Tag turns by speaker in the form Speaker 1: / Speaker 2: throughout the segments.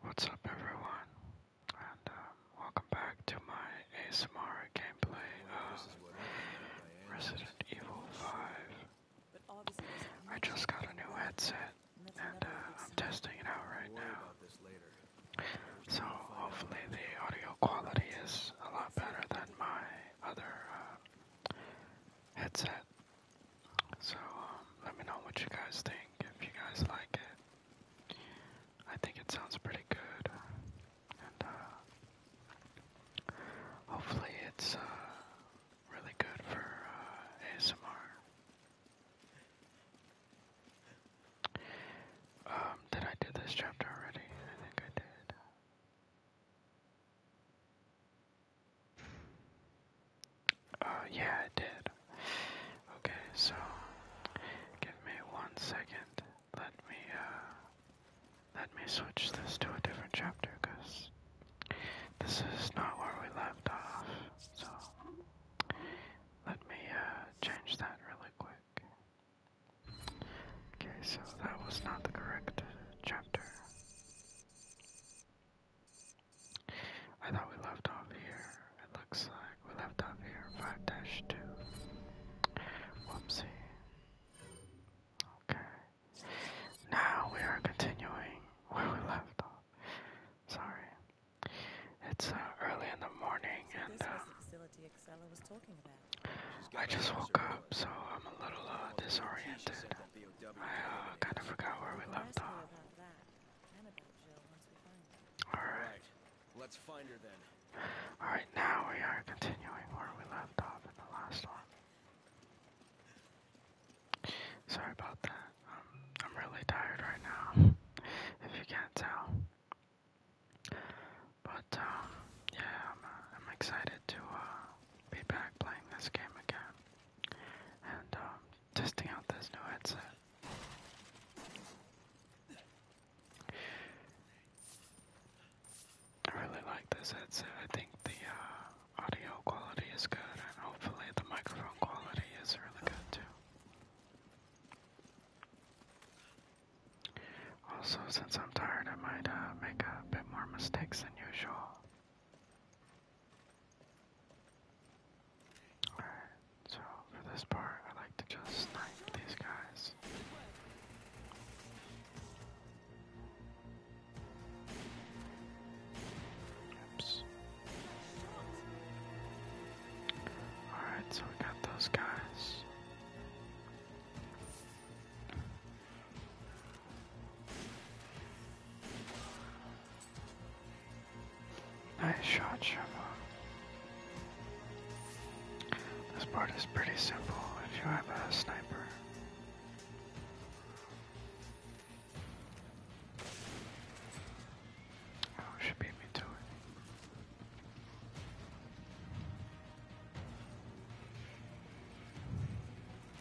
Speaker 1: What's up everyone, and um, welcome back to my ASMR gameplay of um, Resident Evil 5. I just got a new headset, and uh, I'm testing it out right now. So hopefully the audio quality is a lot better than my other uh, headset so, um, let me know what you guys think, if you guys like it. I think it sounds pretty good. And, uh, hopefully it's, uh, really good for, uh, ASMR. Um, did I do this chapter already? I think I did. Uh, yeah, I did. Okay, so give me one second. Let me uh, let me switch this to a different chapter, cause this is not where we left off. So let me uh, change that really quick. Okay, so that was not the correct chapter. I thought we left off here. It looks like we left off here. 5-2. Whoopsie. Okay. Now we are continuing where we left off. Sorry. It's uh, early in the morning and uh, I just woke up so I'm a little uh, disoriented. I kind of forgot where we left off. Alright. Let's find her then. Alright, now we are continuing where we left off in the last one. Sorry about that. Um, I'm really tired right now, if you can't tell. But, um, yeah, uh, I'm, excited to uh, be back playing this game again and um, testing out this new headset. I really like this headset. I think the uh, audio quality is good, and hopefully the microphone quality is really good too. Also, since I'm tired, I might uh, make a bit more mistakes than usual. Alright, so for this part, I like to just snipe these guys. Oops. Alright, so we got those guys. Nice shot, Shimon. This part is pretty simple if you have a sniper. Oh, beat me to it.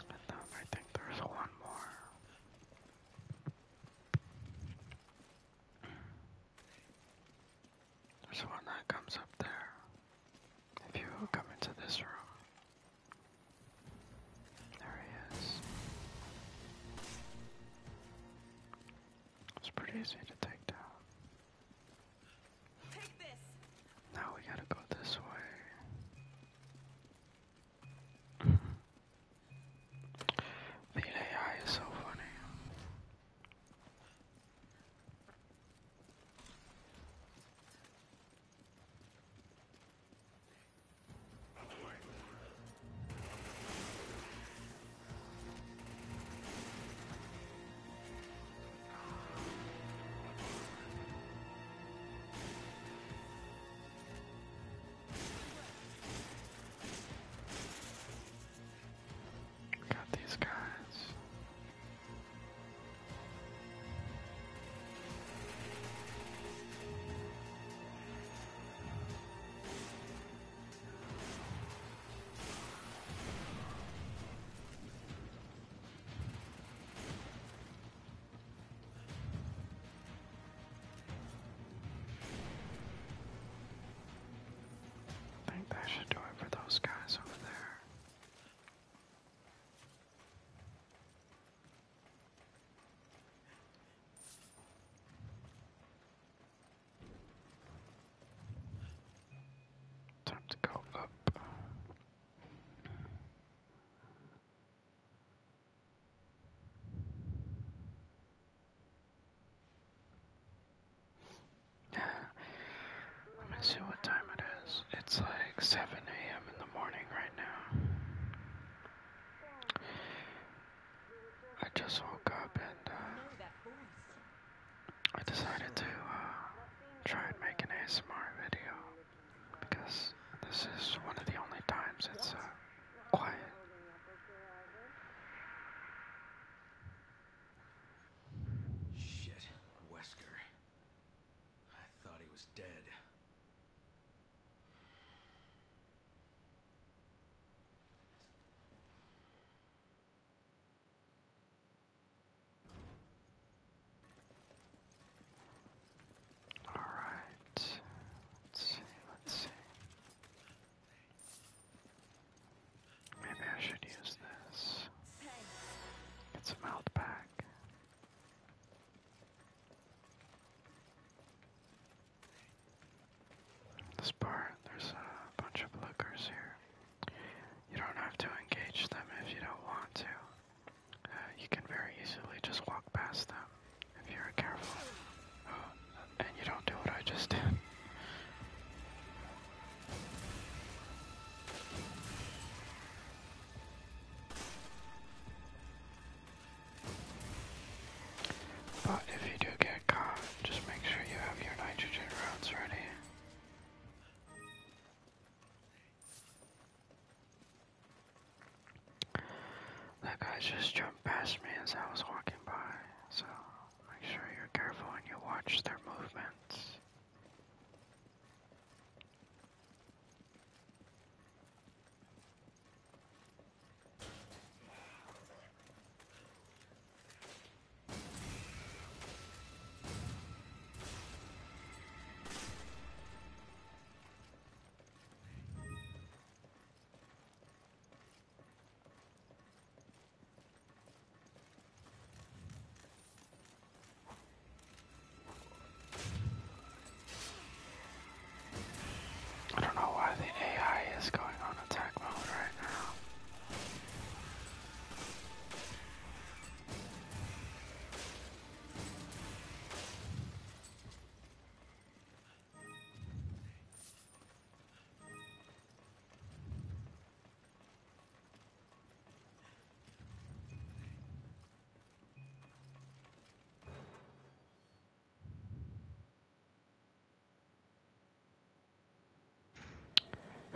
Speaker 1: I think there's one more. There's one that comes up there. If you come into this room. There he is. It's pretty easy to take down. Now we gotta go this way. the is so funny. Got these guys. I think I should do it for those guys over there. Time to go up. Let me see what time it is. It's like 7 a.m. in the morning right now. I just woke up and uh, I decided to uh, try and make an ASMR video because this is one of the only times it's uh, quiet. Shit, Wesker. I thought he was dead. All right. Let's see. Maybe I should use this. Get some health back. This part, there's a bunch of lookers here. You don't have to engage them if you don't want to you can very easily just walk past them if you're careful. Uh, and you don't do what I just did. But if you do get caught, just make sure you have your nitrogen rounds ready. That guy just jumped past me as I was walking by, so make sure you're careful and you watch their movements. I don't know why the AI is going on attack mode right now.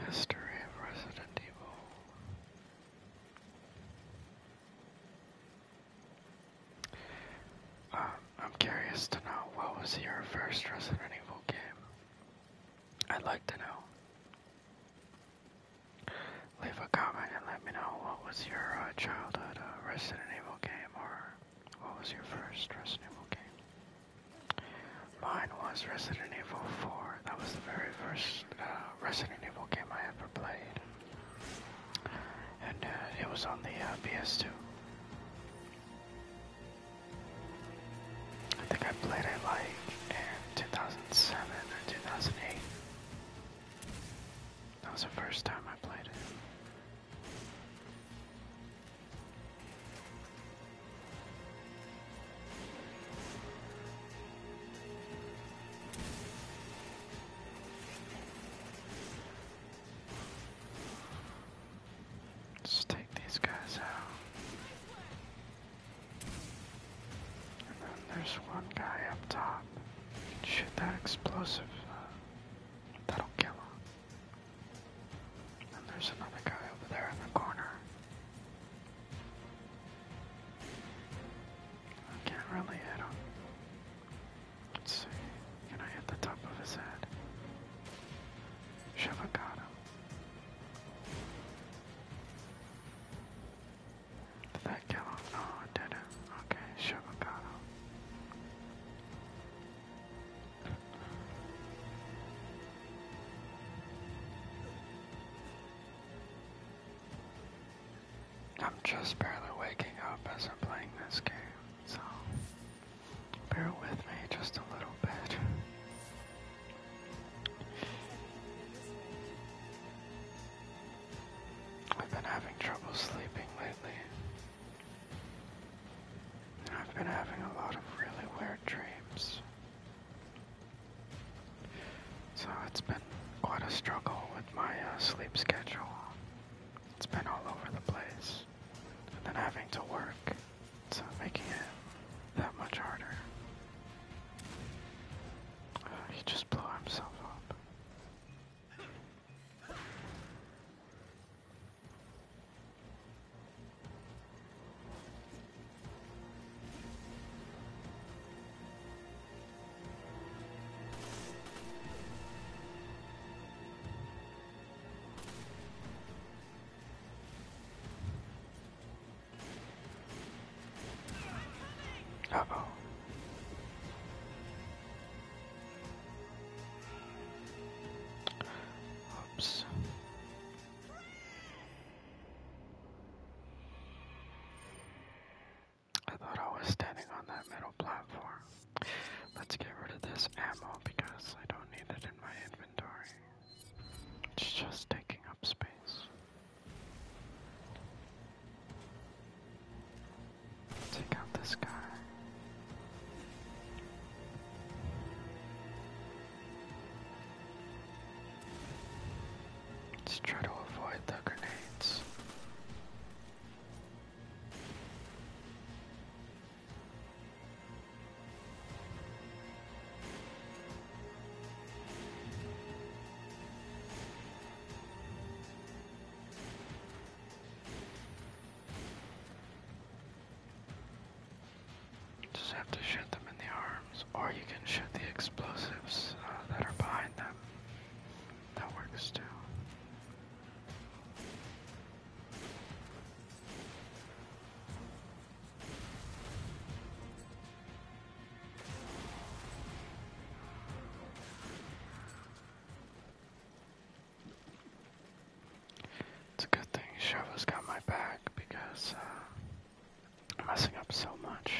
Speaker 1: History of Resident Evil. Uh, I'm curious to know what was your first Resident Evil game? I'd like to know. Leave a comment and let me know what was your uh, childhood uh, Resident Evil game or what was your first Resident Evil game? Mine was Resident Evil 4. That was the very first uh, Resident Evil game I ever played, and uh, it was on the uh, PS2. I think I played it like in 2007 or 2008. That was the first time I played it let take these guys out. And then there's one guy up top. Shoot that explosive. Uh, that'll kill him. And there's another guy over there in the corner. I can't really hit him. Let's see. Can I hit the top of his head? Shiva got him. Did that kill him? No, it didn't. Okay, should got him. I'm just barely waking up as I'm playing this game, so bear with me just a little bit. I've been having trouble sleeping lately. I've been having a lot of really weird dreams. So it's been quite a struggle with my uh, sleep schedule. It's been all over the place. And then having to work, so making it that much harder. Uh, he just blew himself up. Uh-oh. Oops. I thought I was standing on that metal platform. Let's get rid of this ammo because I don't need it in my inventory. It's just taking up space. Take out this guy. Let's try to avoid the grenades. Just have to shoot them in the arms, or you can shoot the explosives uh, that are behind them. That works too. It's a good thing Shova's got my back because uh, I'm messing up so much.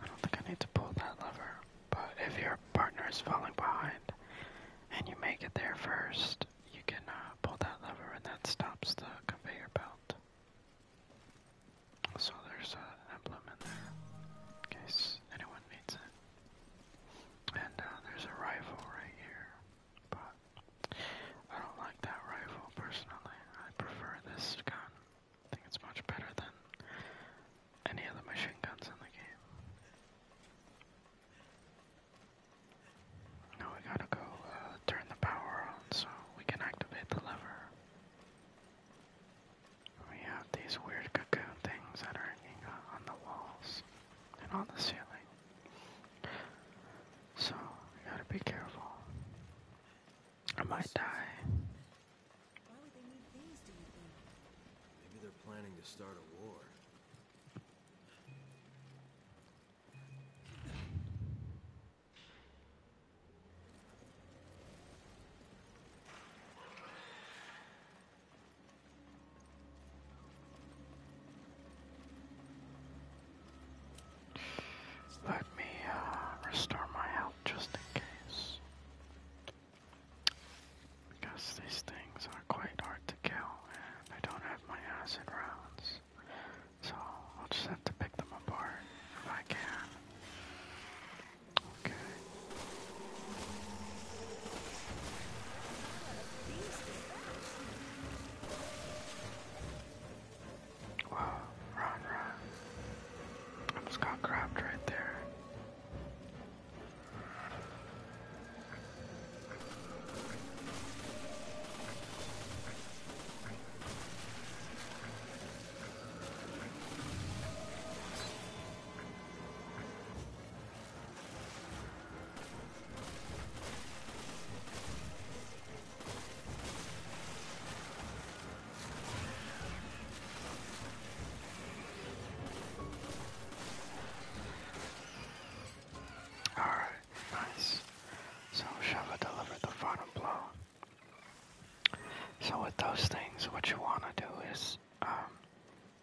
Speaker 1: I don't think I need to pull that lever, but if your partner is falling behind and you make it there first, you can uh, pull that lever and that stops the conveyor belt. So there's uh, an emblem in there in case anyone needs it. And uh, there's a rifle right here, but I don't like that rifle personally. I prefer this gun. I think it's much better than any other machine guns in the game. Now we gotta go uh, turn the power on so we can activate the lever. We have these weird cocoon things that are hanging on the walls and on the ceiling. So, gotta be careful. I might die. Maybe they're planning to start a war. Let me uh, restore my health just in case. Because these things are quite hard to kill, and I don't have my acid rounds. So I'll just have to pick them apart if I can. Okay. Whoa, run, run. I just got grabbed right there. All right, nice. So Shava delivered the final blow. So with those things, what you want to do is um,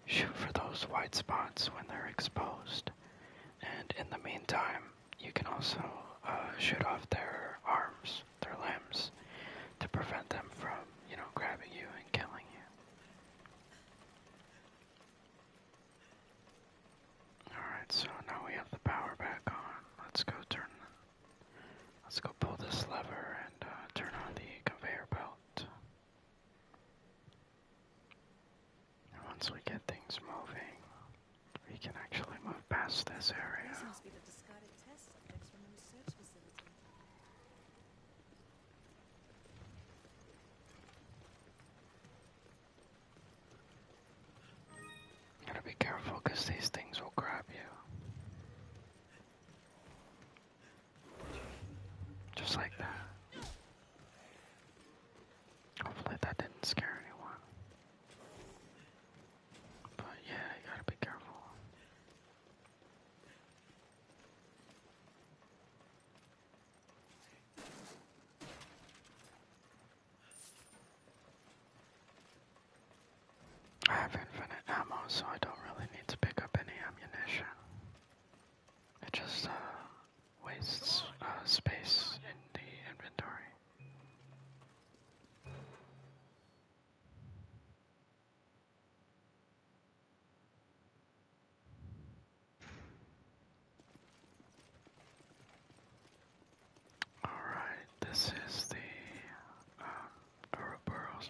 Speaker 1: shoot for those white spots when they're exposed, and in the meantime, you can also uh, shoot off their arms their limbs to prevent them from, you know, grabbing you and killing you. Alright, so now we have the power back on. Let's go turn let's go pull this lever and uh, turn on the conveyor belt. And once we get things moving, we can actually move past this area gotta be careful these things will grab you. Just like that. Hopefully that didn't scare anyone. But yeah, gotta be careful. I have infinite ammo, so I don't really need to pick up any ammunition. It just uh, wastes uh, space in the inventory. All right, this is the um, uh, Ouroboros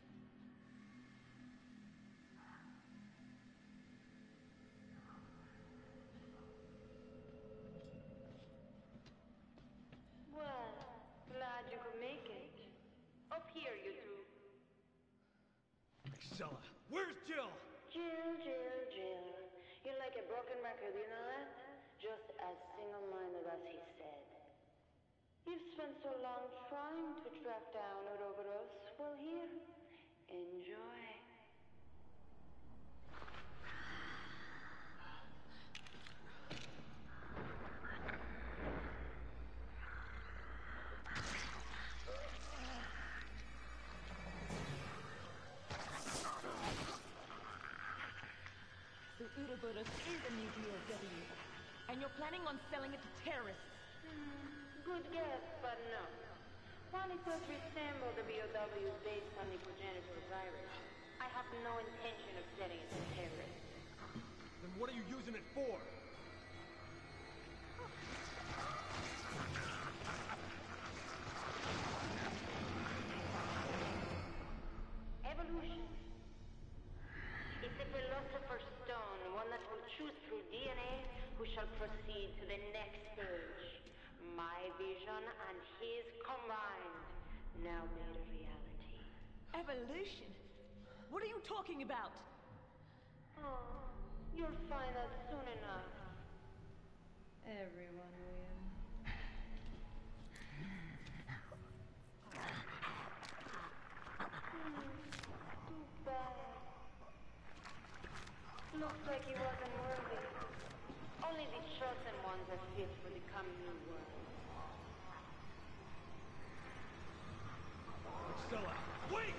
Speaker 1: Well, glad you could make it. Up here, you two. Marcella, where's Jill? Jill, Jill, Jill. You're like a broken record, you know that? Just as single-minded as he said. You've spent so long trying to track down Ouroboros. Well, here, enjoy. The Ouroboros is a nuclear deadly, and you're planning on selling it to terrorists. Hmm, good guess, but no. One is what resemble the BOW based on the progenitor virus? I have no intention of setting it to terrorists. Then what are you using it for? Evolution. It's a philosopher's stone, one that will choose through DNA who shall proceed to the next stage. My vision and his combined, now made a reality. Evolution? What are you talking about? Oh, you'll find out soon enough. Everyone will. Hmm bad. Looks like he wasn't worthy. Only the chosen ones are fit for the coming new world. Stella, wait!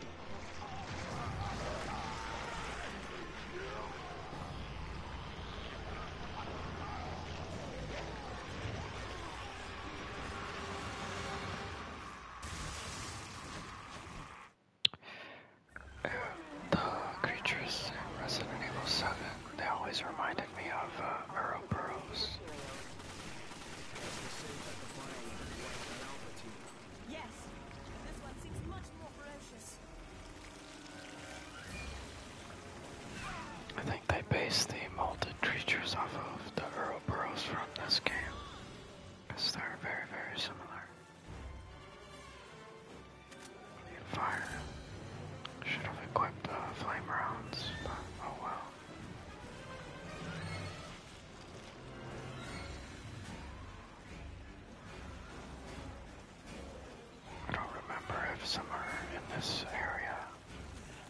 Speaker 1: the creatures in Resident Evil 7, they always reminded me of uh, Ouroboros. Yes, this one seems much more ferocious. I think they based the molded creatures off of the Ouroboros from this game because they're very, very similar. fire. Should have equipped uh, flame rounds, but oh well. I don't remember if some are in this area.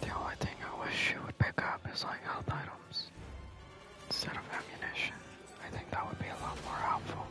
Speaker 1: The only thing I wish you would pick up is like health items instead of ammunition. I think that would be a lot more helpful.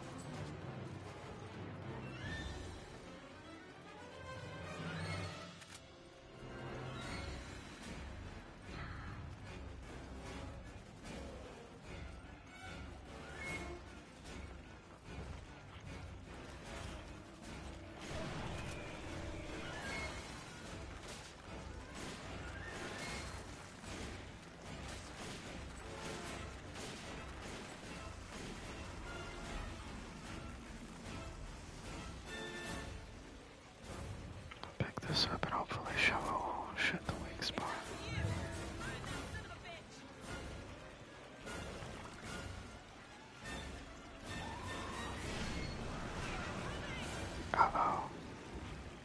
Speaker 1: Pick this up and hopefully show shit the weak spot. Uh oh.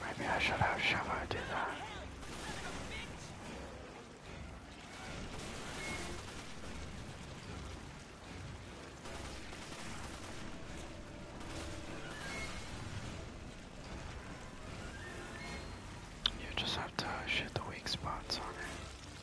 Speaker 1: Maybe I should have Shavo do that. You just have to shoot the weak spots on it.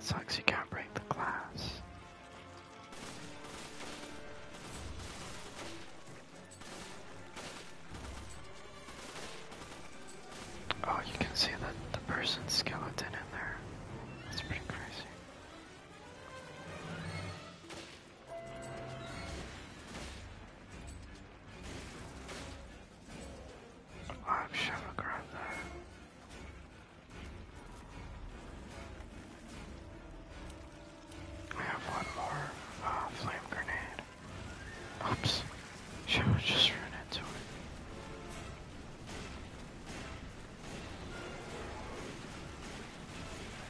Speaker 1: Sucks you can't break the glass. Oh, you can see that the person's skeleton in there. That's pretty crazy. I'm sure I'll grab I have one more uh, flame grenade. Oops. Should just run into it.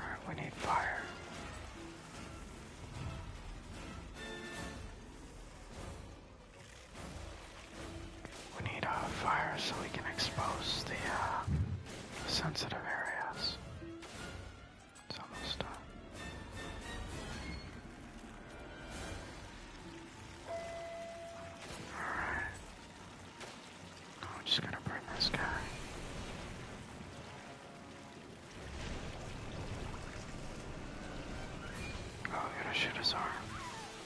Speaker 1: Alright, we need fire. We need a fire so we can expose the uh, sensitive areas. almost done. Alright. I'm just gonna burn this guy. I'm oh, gonna shoot his arm.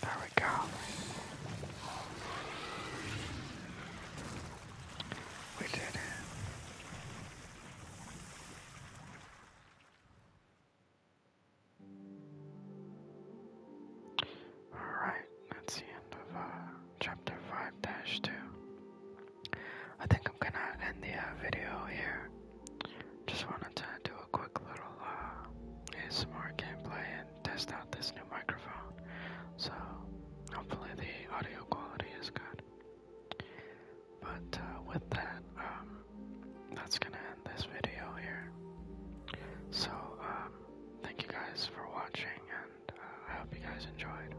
Speaker 1: There we go. We did All right, that's the end of uh, chapter 5-2. I think I'm gonna end the uh, video here. Just wanted to do a quick little uh, ASMR gameplay and test out this new microphone. So hopefully the audio quality is good. But uh, with that, um, that's gonna end this video here. So um, thank you guys for watching, and uh, I hope you guys enjoyed.